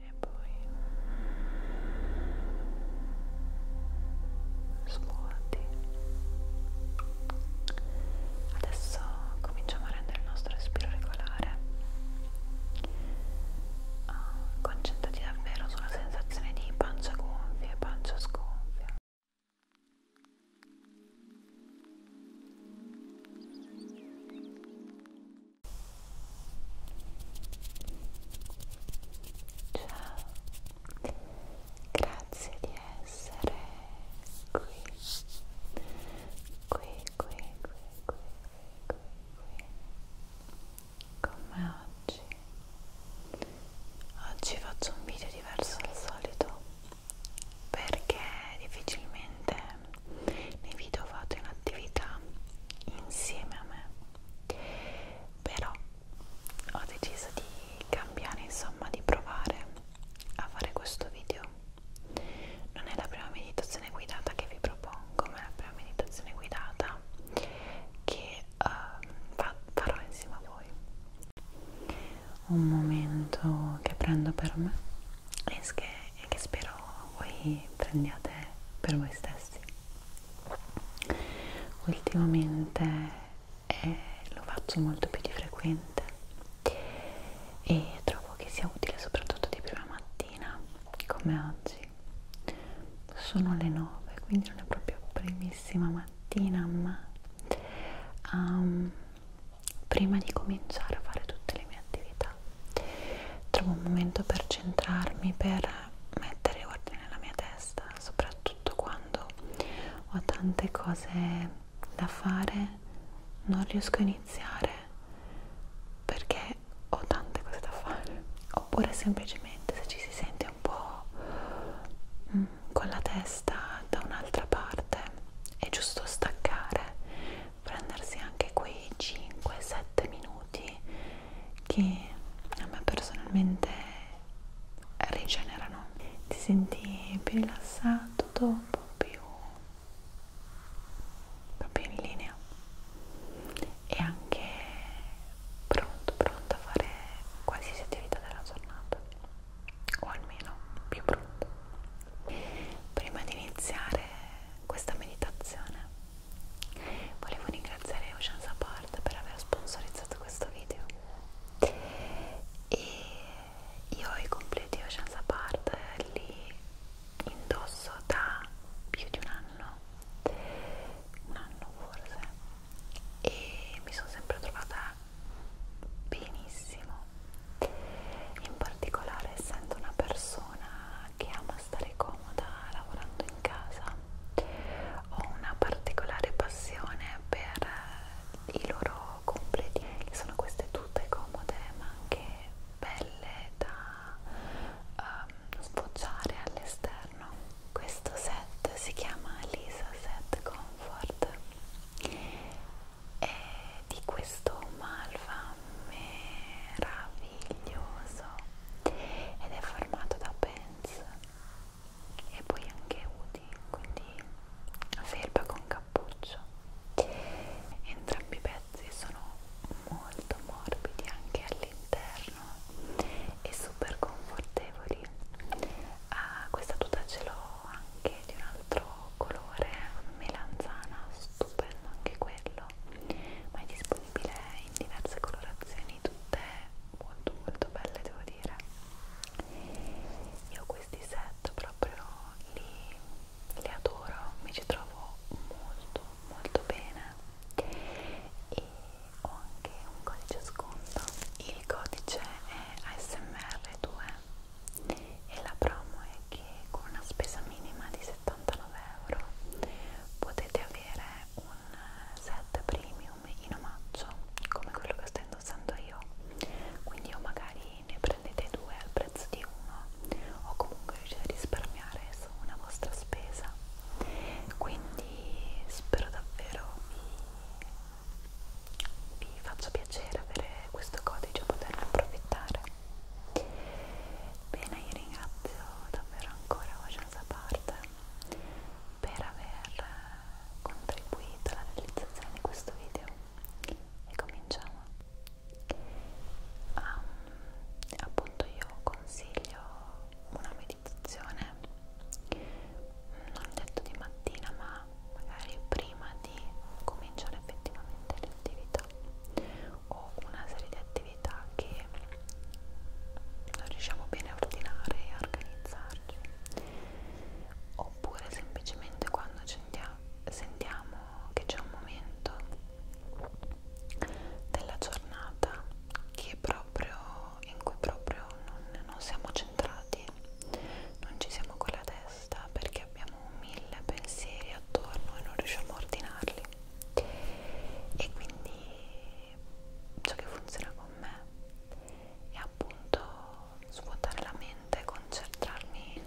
e poi svuoti adesso cominciamo a rendere il nostro respiro regolare ah, concentrati davvero sulla sensazione di pancia gonfia e pancia sgonfia Ciao, grazie di essere qui, qui, qui, qui, qui, qui, qui, come oggi. Oggi faccio un video diverso dal solito perché difficilmente nei video vado in attività insieme a me però ho deciso di cambiare insomma di provare a fare questo video non è la prima meditazione guidata che vi propongo ma è la prima meditazione guidata che uh, farò insieme a voi un momento che prendo per me e che e che spero voi prendiate per voi stessi ultimamente eh, lo faccio molto più di frequente e trovo che sia utile soprattutto di prima mattina come oggi sono le 9 quindi non è proprio primissima mattina ma um, prima di cominciare a fare tutte le mie attività vita trovo un momento per centrarmi per mettere ordine nella mia testa soprattutto quando ho tante cose da fare non riesco a iniziare perché ho tante cose da fare oppure semplicemente se ci si sente un po' mm, con la testa da un'altra parte è giusto staccare prendersi anche quei 5-7 minuti che a me personalmente rigenerano ti senti più rilassato dopo più proprio in linea e anche pronto pronto a fare qualsiasi attività della giornata o almeno più pronto prima di iniziare questa meditazione Volevo ringraziare Ocean Support per aver sponsorizzato questo video e io ho i completi Ocean Support li indosso da più di un anno, un anno forse, e mi sono sempre trovata benissimo. In particolare essendo una persona che ama stare comoda lavorando in casa ho una particolare passione per i loro completi che sono queste tute comode ma anche belle da um, ehm, sfoggiare all'esterno questo set si chiama Lisa Set Comfort e di questo Malva meraviglioso ed è formato da pens e poi anche UDI, quindi felpa con cappuccio. Entrambi i pezzi sono molto morbidi anche all'interno e super confortevoli. Ah, questa tuta ce l'ho anche di un altro colore melanzana, stupendo anche quello, ma è disponibile disponibile in diverse colorazioni, tutte molto molto belle devo dire. Io questi set proprio li, li adoro, mi ci trovo molto molto bene e ho anche un codice sconto. Il codice è ASMR2 e la promo è che con una spesa minima di 79 euro potete avere è un set premium in omaggio come quello che sto indossando io quindi o magari ne prendete due al prezzo di uno o comunque riuscite a risparmiare su una vostra spesa quindi spero davvero vi, vi faccia piacere avere questo codice e poterne approfittare bene io ringrazio davvero ancora oggi sono da parte per aver contribuito alla realizzazione di questo video e cominciamo ah, appunto io consiglio una meditazione non detto di mattina ma magari prima di cominciare effettivamente l'attività ho una serie di attività che non riusciamo bene a ordinare e a organizzarci oppure semplicemente quando sentiamo che c'è un momento della giornata che proprio, in cui proprio non, non siamo centrati non ci siamo con la testa perché abbiamo mille pensieri attorno e non riusciamo a ordinarli lì e quindi ciò che funziona con me è appunto svuotare la mente concentrarmi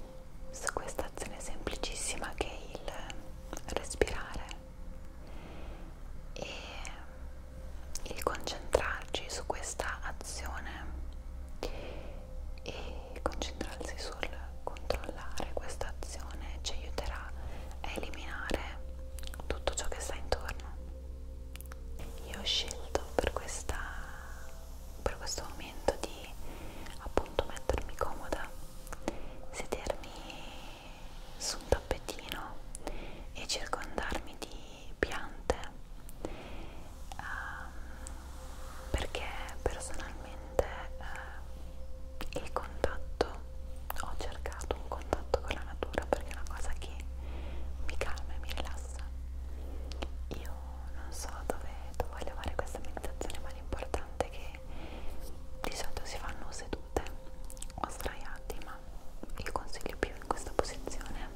su questa azione semplicissima che è il respirare e il concentrarci su questa azione e concentrarsi sul controllare questa azione ci aiuterà a eliminare tutto ciò che sta intorno. Io ho scelto per, questa, per questo momento di appunto mettermi comoda, sedermi su un tappetino e circondarmi di piante um, perché personalmente uh, il contatto, ho cercato un contatto con la natura perché è una cosa che mi calma e mi rilassa. Io non so dove, dove voglio fare questa meditazione, ma l'importante è che di solito si fanno sedute o sdraiati, ma il consiglio più in questa posizione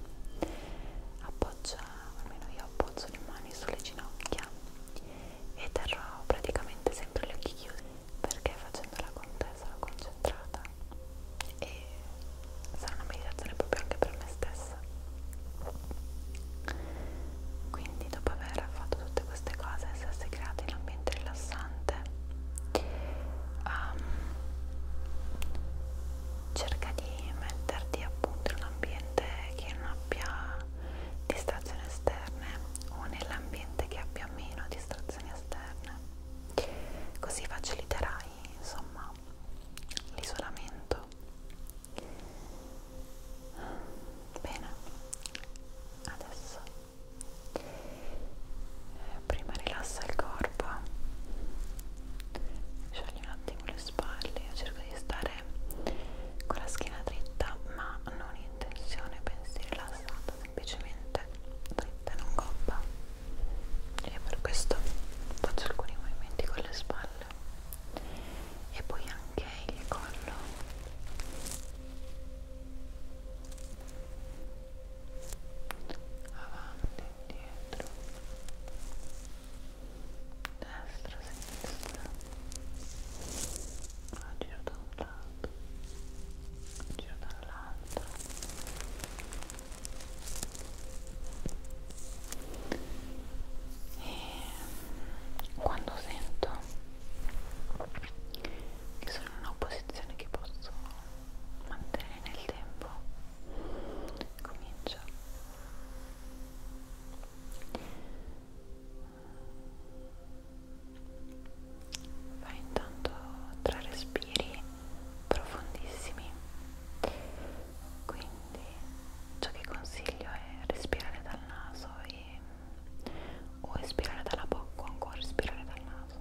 appoggia, almeno io appoggio le mani sulle ginocchia e terrò praticamente sempre gli occhi chiusi perché facendo la contessa l'ho concentrata e sarà una meditazione proprio anche per me stessa quindi dopo aver fatto tutte queste cose essersi creati in un ambiente rilassante um, cerca di metterti appunto in un ambiente che non abbia distrazioni esterne o nell'ambiente che abbia meno distrazioni decorazioni esterne così faciliterai insomma l'isolamento bene adesso eh, prima rilassa il corpo sciogli un attimo le spalle io cerco di stare con la schiena dritta ma non in tensione, pensi rilassata, semplicemente dritta non gobba e per questo faccio alcuni movimenti con le spalle e poi anche il collo avanti, indietro destra, sinistra agito lato un giro dall'altro e quando sento che sono in una posizione che posso mantenere nel tempo comincio a fai intanto tre respiri profondissimi quindi ciò che consiglio è respirare dal naso e, o espirare dalla bocca o ancora respirare dal naso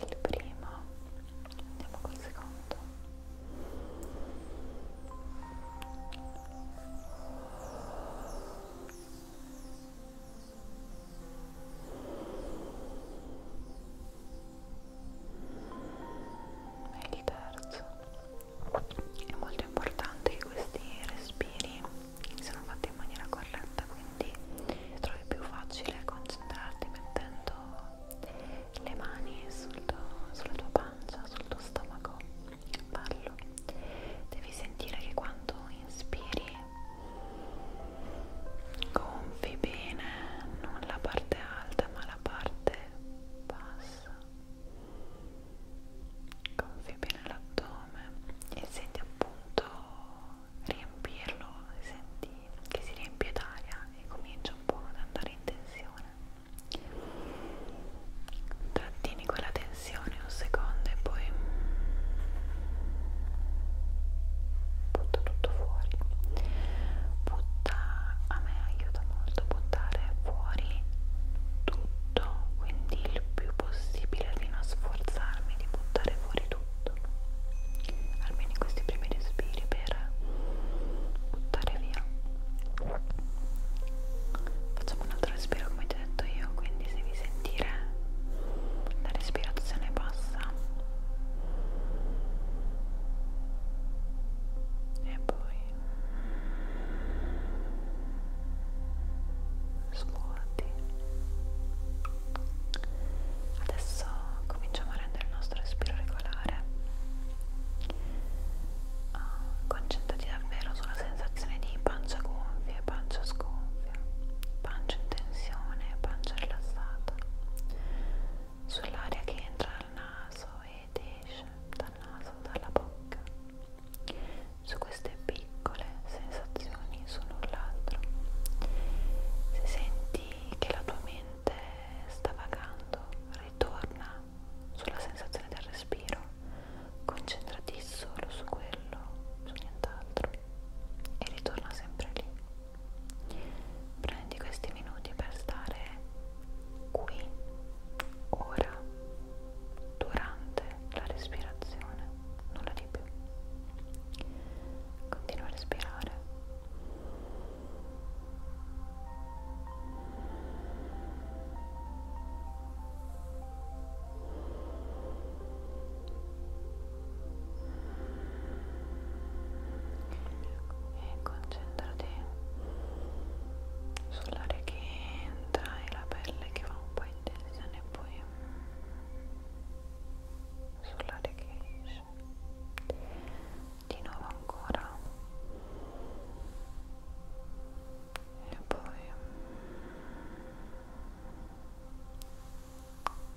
il primo andiamo col secondo e il terzo è molto importante che questi respiri siano fatti in maniera corretta quindi trovi più facile concentrarti mettendo le mani sul tuo, sulla tua pancia, sul tuo stomaco, ballo. Devi sentire che quando inspiri gonfi bene, non la parte alta ma la parte bassa. Gonfi bene l'addome e senti appunto riempirlo, senti di, che si riempie d'aria e comincia un po' ad andare in tensione trattieni quella tensione un secondo e poi butta tutto fuori butta a me aiuta molto buttare fuori tutto quindi il più possibile di non sforzarmi di buttare fuori tutto almeno in questi primi respiri per buttare via facciamo un altro respiro come ti ho detto io quindi se vi sentire la respirazione bassa e poi svuoti adesso cominciamo a rendere il nostro respiro regolare Uh, concentrati davvero sulla sensazione di pancia gonfia, pancia sgonfia, pancia in tensione, pancia rilassata, sull'aria che entra dal naso ed esce dal naso, dalla bocca, su queste piccole sensazioni su null'altro. Se senti che la tua mente mente sta vagando, ritorna sulla sensazione del respiro, concentrati solo su quello, su nient'altro e ritorna sempre lì. Prendi questi minuti per stare qui, ora, durante la respirazione, nulla di più. Continua a respirare e concentrati sull'aria che entra e la pelle che va un po' in tensione e poi sull'aria che esce di nuovo ancora e poi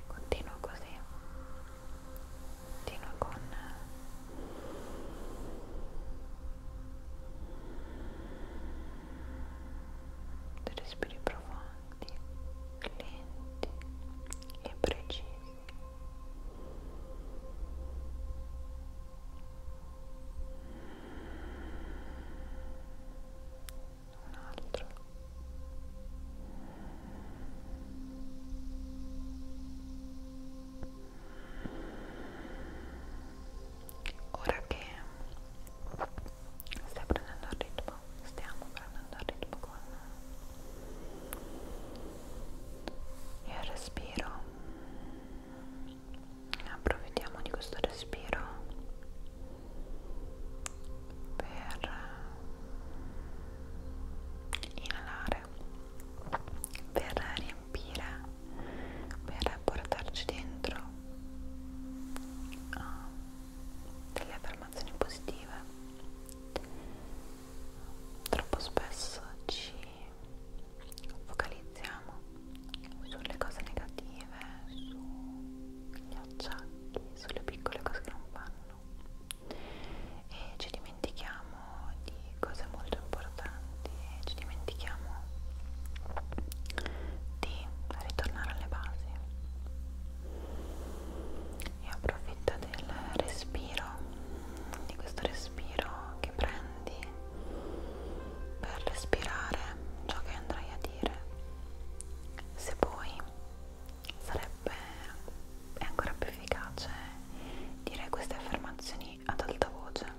continuo così continuo con dei respiri profondi lenti e precisi un altro ora che stai prendendo il ritmo stiamo prendendo il ritmo con il respiro approfittiamo di questo respiro per inalare per riempire per portarci dentro ah, delle affermazioni positive troppo spesso ci focalizziamo sulle cose negative, sugli acciacchi, sulle piccole cose che non vanno e ci dimentichiamo di cose molto importanti e ci dimentichiamo di ritornare alle basi e approfitta del respiro di questo respiro che prendi per respirare ciò che andrai a dire. Se puoi, sarebbe è ancora più efficace dire queste affermazioni ad alta voce.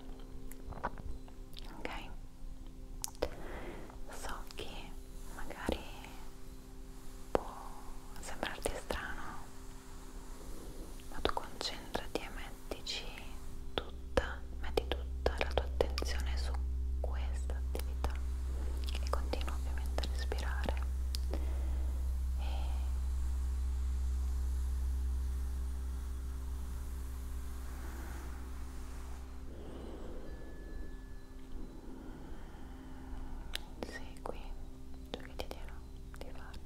Ok? So che magari può sembrarti strano ma tu concentrati e mettici tutta, metti tutta la tua attenzione su questa attività e continua ovviamente a respirare e Segui ciò che ti dirò di fare.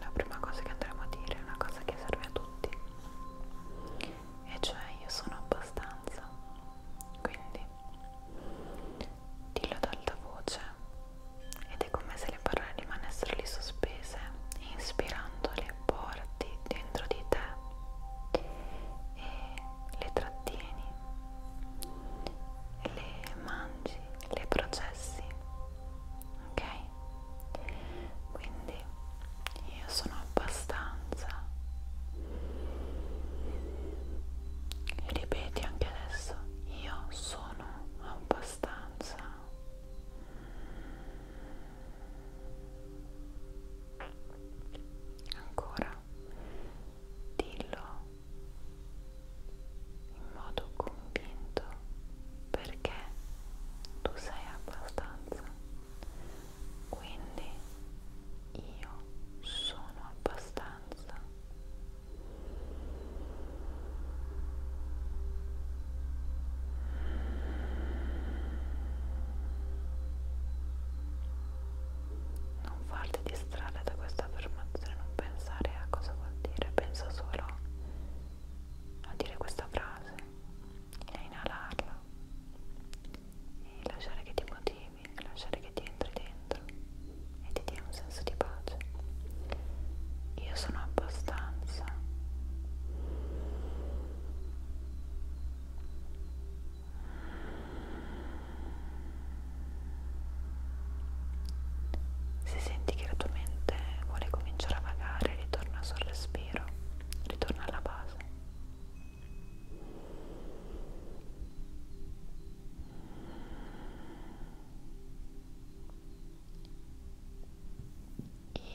La prima cosa che andremo a dire è una cosa che serve a tutti, e cioè io sono abbastanza, quindi dillo ad alta voce ed è come se le parole rimanessero lì sospese, inspirandole che porti dentro di te e le trattieni, le mangi, le processi, ok? Quindi io sono abbastanza ripeti anche adesso io sono abbastanza Ancora, dillo in modo convinto perché tu sei abbastanza. Quindi io sono abbastanza. Non farti distrarre da questa affermazione, non pensare a cosa vuol dire, pensa solo a dire questa frase e a inalarla e lasciare che ti motivi, lasciare che ti entri dentro e ti dia un senso di pace. Io sono abbastanza. Se senti che la tua mente vuole cominciare a vagare, ritorna sul respiro, ritorna alla base.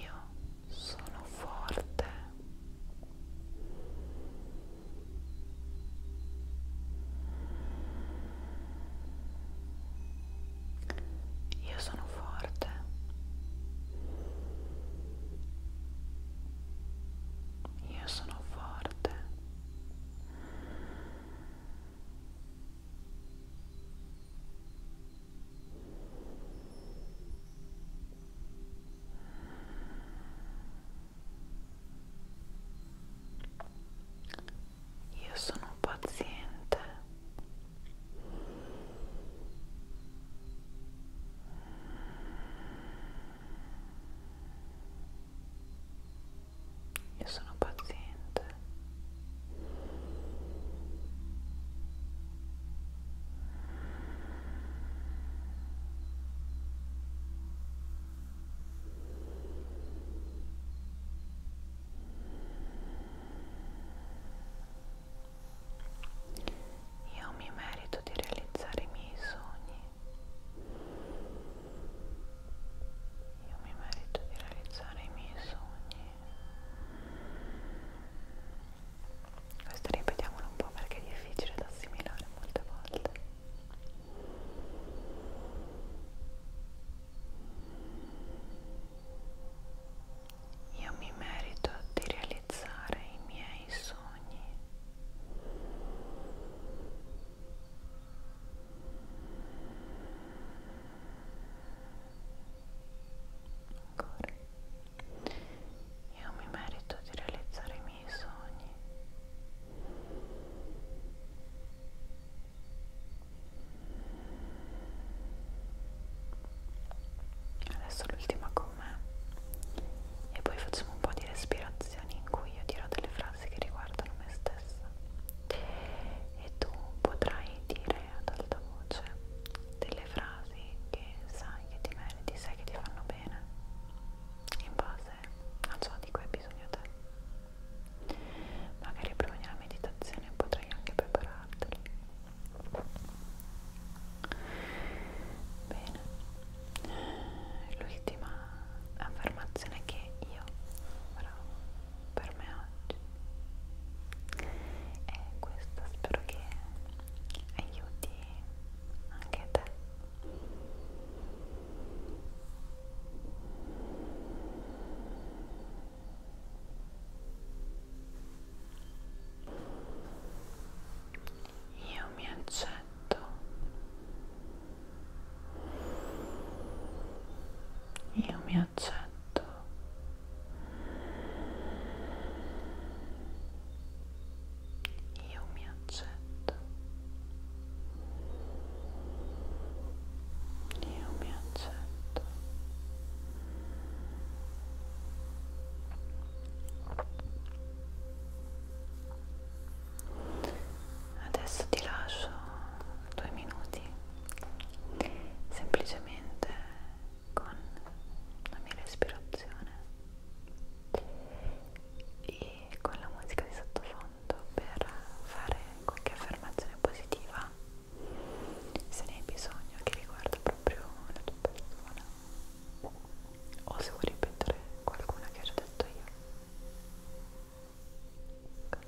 Io sono forte io sono forte io sono forte io sono forte io sono paziente. Io sono paziente. Io mi merito di realizzare i miei sogni. Io mi merito di realizzare i miei sogni. Questo ripetiamolo un po' perché è difficile da assimilare molte volte. Io mi merito di realizzare i miei sogni. Ancora. Io mi merito di realizzare i miei sogni. Adesso l'ultima con me e poi facciamo un po' di respirazioni in cui io dirò delle frasi che riguardano me stessa e tu potrai dire ad alta voce delle frasi che che sai che ti meriti, sai che ti fanno bene in base a ciò di cui hai bisogno te magari prima della meditazione potrai anche prepararteli bene l'ultima affermazione che io farò per me oggi e questa spero che aiuti anche te io mi accetto. Io mi accetto io mi accetto io mi accetto adesso ti lascio due minuti semplicemente con la mia respirazione e con la musica di sottofondo per fare qualche affermazione positiva se ne hai bisogno che riguarda proprio la tua persona o se vuoi ripetere qualcuna che ho già detto io Così.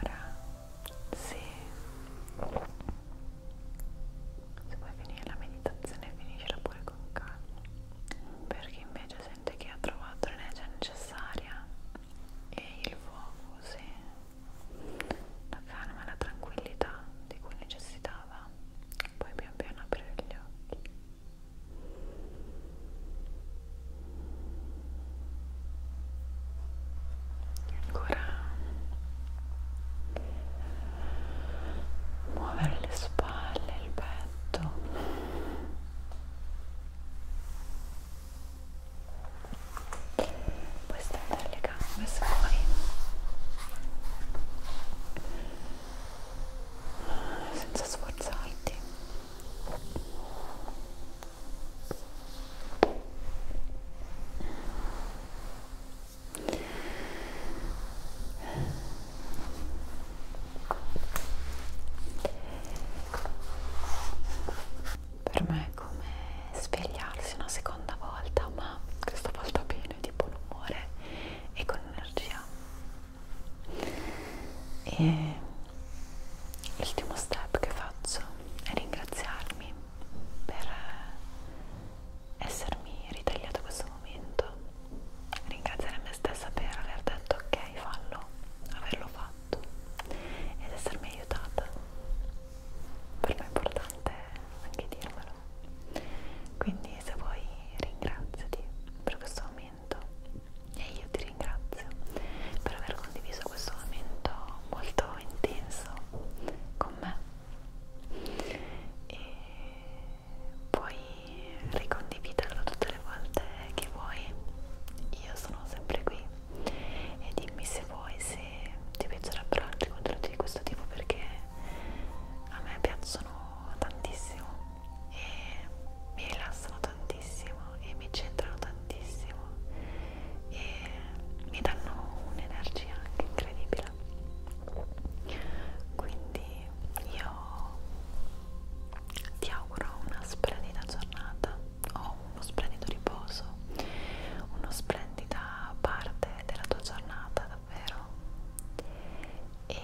ora se, se vuoi finire la meditazione finiscila pure con calma per chi invece sente che ha trovato l'energia necessaria e il focus e la calma e la tranquillità di cui necessitava poi pian piano aprire gli occhi ancora muovere le spalle, il petto puoi stendere le gambe se vuoi senza sforzarti per me è come svegliarsi una seconda volta, ma questa volta bene, di buon umore e con energia. E l'ultimo step che faccio è ringraziarmi per essermi ritagliato questo momento ringraziare me stessa per aver detto ok fallo averlo fatto ed essermi aiutata per me è importante anche dirmelo quindi se vuoi ringraziati per questo momento e io ti ringrazio per aver condiviso questo momento molto intenso con me e puoi ricondividerlo tutte le volte che vuoi io sono sempre qui e dimmi se vuoi se ti piacerebbero altri contenuti di questo tipo perché a me piacciono tantissimo e mi rilassano tantissimo e mi centrano tantissimo e mi danno un'energia anche incredibile quindi io ti auguro una splendida giornata o uno splendido riposo una splendida parte della tua giornata davvero e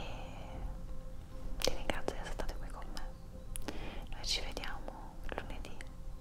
ti ringrazio di essere stato qui con me noi ci vediamo lunedì